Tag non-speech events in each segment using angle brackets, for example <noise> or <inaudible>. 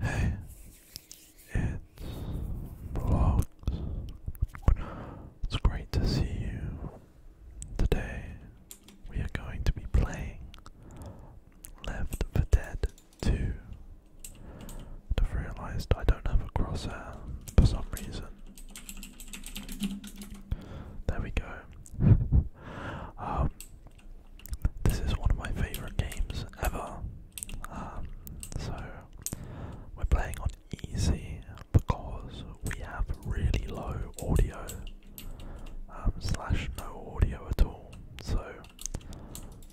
Hey, it's Vlogs. It's great to see you. Today we are going to be playing Left 4 Dead 2. I've realized I don't have a crosshair for some reason. There we go. <laughs> Um, this is one of my favorite games ever. Um, so we're playing on easy because we have really low audio um, slash no audio at all. So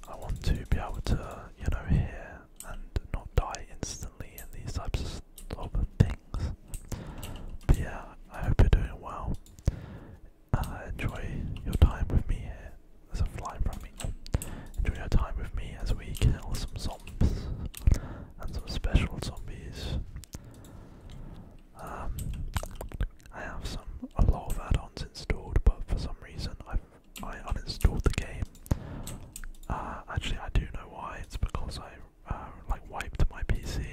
I want to be able to you know hear and not die instantly in these types of of things. But yeah, I hope you're doing well. Uh, enjoy your time with me here. There's a fly from me. Enjoy your time with me as we kill some zombies and some special zombies. Um, I have some a lot of add-ons installed, but for some reason I've I uninstalled the game. Uh, actually, I do know why. It's because I uh, like wiped my PC.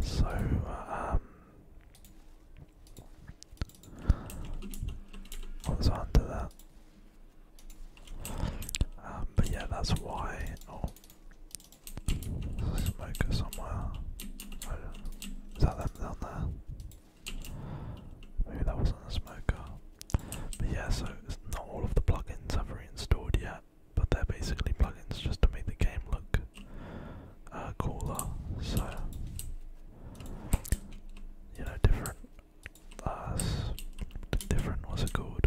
So uh, um, what was under that? Um, but yeah, that's why. Oh, smoker somewhere. is that them down there? Maybe that wasn't a smoker. But yeah, so it's not all of the plugins I've reinstalled yet but they're basically plugins just to make the game look uh, cooler. So you know, different, uh, different. What's it called?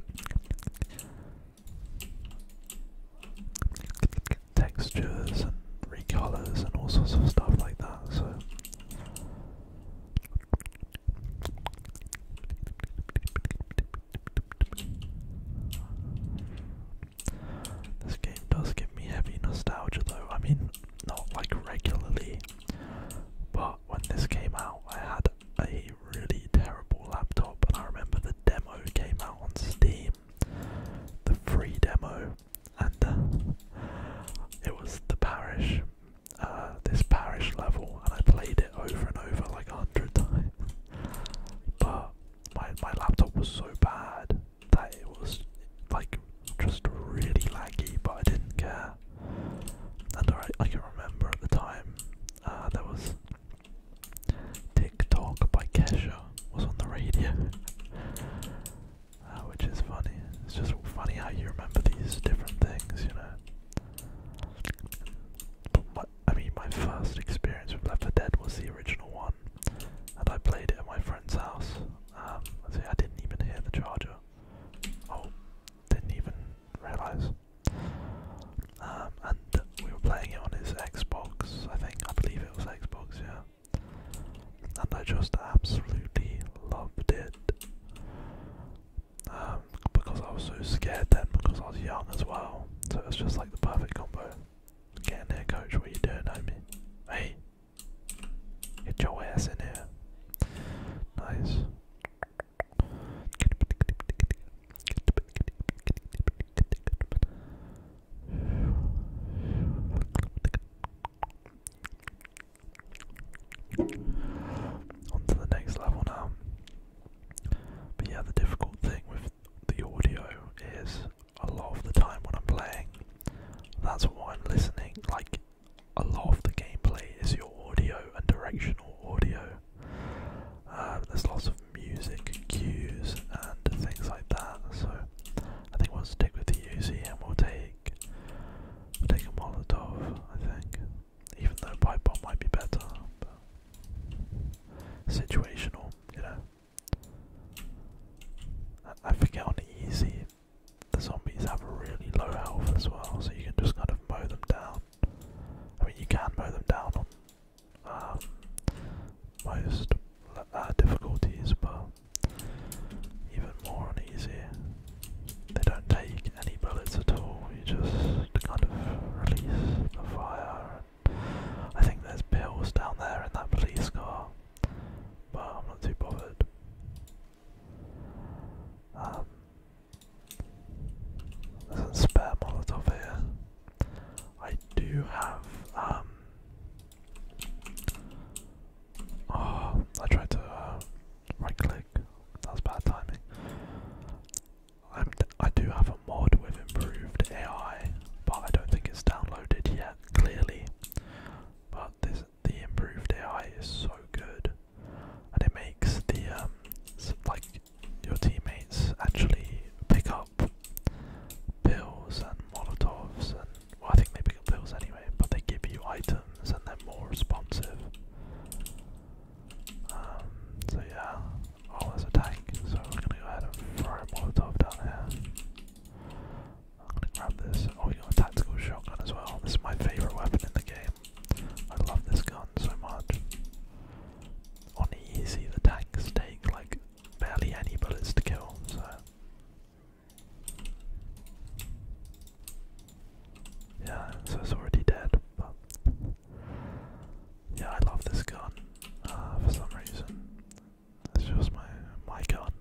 Textures and recolors and all sorts of stuff like that. So this game does give me heavy nostalgia though. I mean, not like regularly, but when this came out, I had a really terrible laptop, and I remember the demo came out on Steam, the free demo, and uh, it was the Parish uh, this parish level, and I played it over and over like a hundred times. But my my laptop was so bad that it was like just really laggy, but I didn't care. And I I can remember at the time that uh, there was TikTok by Kesha was on the radio. <laughs> Uh, which is funny. It's just funny how you remember these different things, you know. But my, I mean, my first experience with Left 4 Dead was the original one, and I played it at my friend's house. Um, see, I didn't even hear the charger. Oh, didn't even realize. Um, and we were playing it on his Xbox, I think. I believe it was Xbox, yeah. And I just absolutely loved it um, because I was so scared then because I was young as well. So it's just like the perfect combo. Get in there, coach. What are you doing, homie? Hey, get your ass in here. Nice. On to the next level now. But yeah, the difficult thing with the audio is a lot of the time when I'm playing, that's why I'm listening. Like, a lot of the gameplay is your audio and directional audio. Uh, there's lots of music cues and things like that. So I think we'll stick with the UZ and we'll take I'll Molotov, I think. Even though pipe bomb might be better, situational, you know. I, forget on the easy the zombies have a really low health as well, so you can just kind of mow them down. I mean, you can mow them down on um, most uh, difficulties, but even more uneasy. They don't take any bullets at all, you just kind of release the fire. I think there's pills down there in that police car, but I'm not too bothered. Um, spare Molotov here. I do have um, Oh, I tried to uh, right click. That was bad timing. I'm d I do have a mod with improved AI, but I don't think it's downloaded yet, clearly. But this the improved AI is so good, and it makes the um like your teammates actually pick up pills and molotovs and I think they pick up pills anyway, but they give you items and they're more responsive. Um, so yeah. Oh, there's a tank, so we're gonna go ahead and throw a Molotov down here. I'm gonna grab this. Oh, we got a tactical shotgun as well. This is my favorite weapon in the game. I love this gun so much. On easy, the tanks take like barely any bullets to kill, so yeah, so it's already dead, but yeah, I love this gun uh, for some reason. It's just my my gun.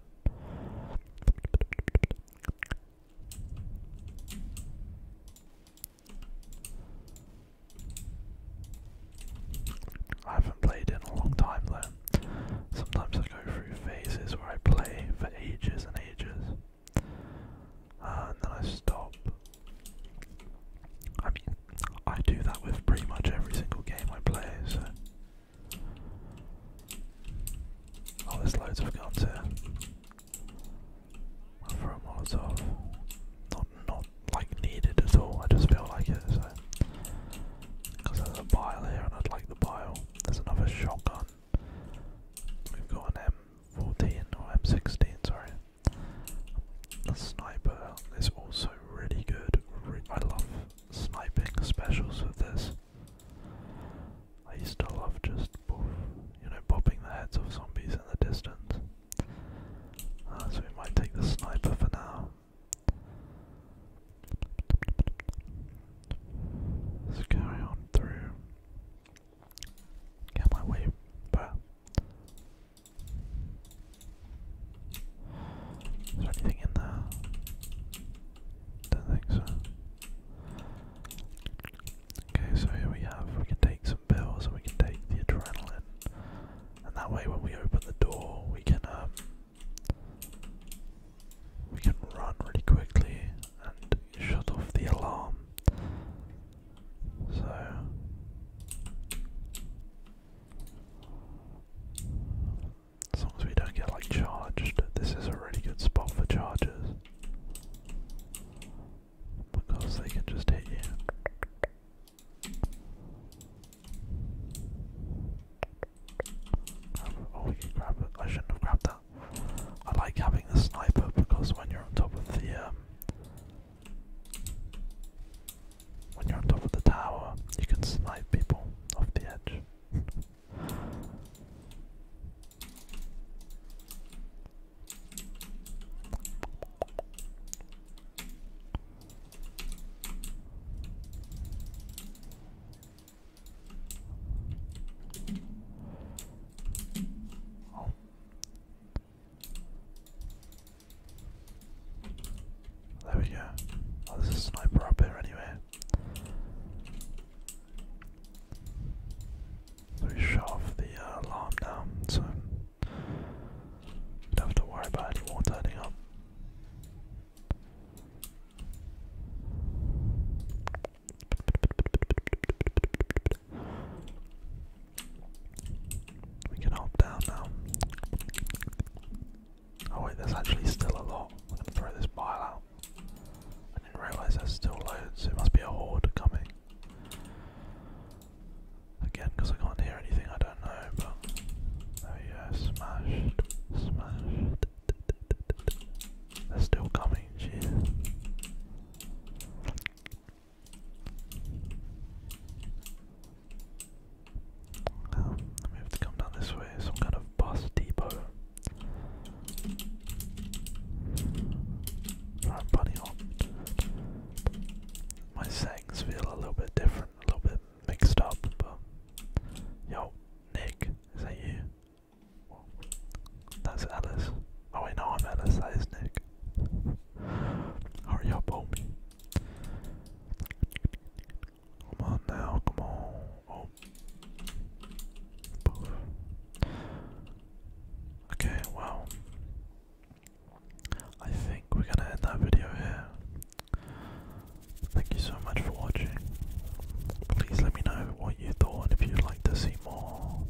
I haven't played in a long time then. Sometimes I go through phases where I play for ages and ages, uh, and then I stop. I mean, I do that with pretty much every single game I play, so. Oh, there's loads of guns here. I'll throw a Not, not like needed at all, I just feel like it, because there's a bile here and I'd like the bile. There's another shotgun. We've got an M14 or M16, sorry. The sniper is also really good. I love sniping specials with this. I used to love just, you know, popping the heads of zombies in the distance. Uh, so we might take the sniper for now. Let's carry on through. Get my way back. Is there anything in there? Don't think so. Okay, so here we have, we can take some pills and we can take the adrenaline and that way when we open the door we can um, we can run really quickly and shut off the alarm. So as long as we don't get like charged, this is a really good spot for charges. Because they can just hit you. Um, oh, we can grab it. I shouldn't have grabbed that. I like having the sniper because when you're on top of the um, when you're on top of the tower, you can snipe people off the edge. Oh. There we go. Oh, there's a sniper up here anyway. So we shut off the uh, alarm now, so don't have to worry about anyone turning up. We can hop down now. Oh wait, there's actually still a lot. I'm gonna throw this pile out. I didn't realise there's still loads. It must be a horde coming. Again, because I can't hear anything, I don't know, but there oh we smashed, smashed. still coming, cheers. Um, have to come down this way, some kind of bus depot. Alright, bunny hop my sayings feel a little bit different, a little bit mixed up, but yo, Nick, is that you? that's Alice. Oh wait, no, I'm Alice, that is Nick. Hurry up, homie. Come on now, come on. Oh. Okay, well, I think we're gonna end that video here. Thank you so much for watching. Please let me know what you thought if you'd like to see more.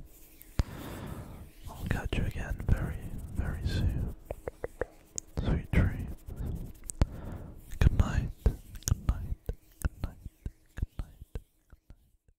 I'll catch you again very, very soon. Sweet dreams. Good night. Good night. Good night. Good night.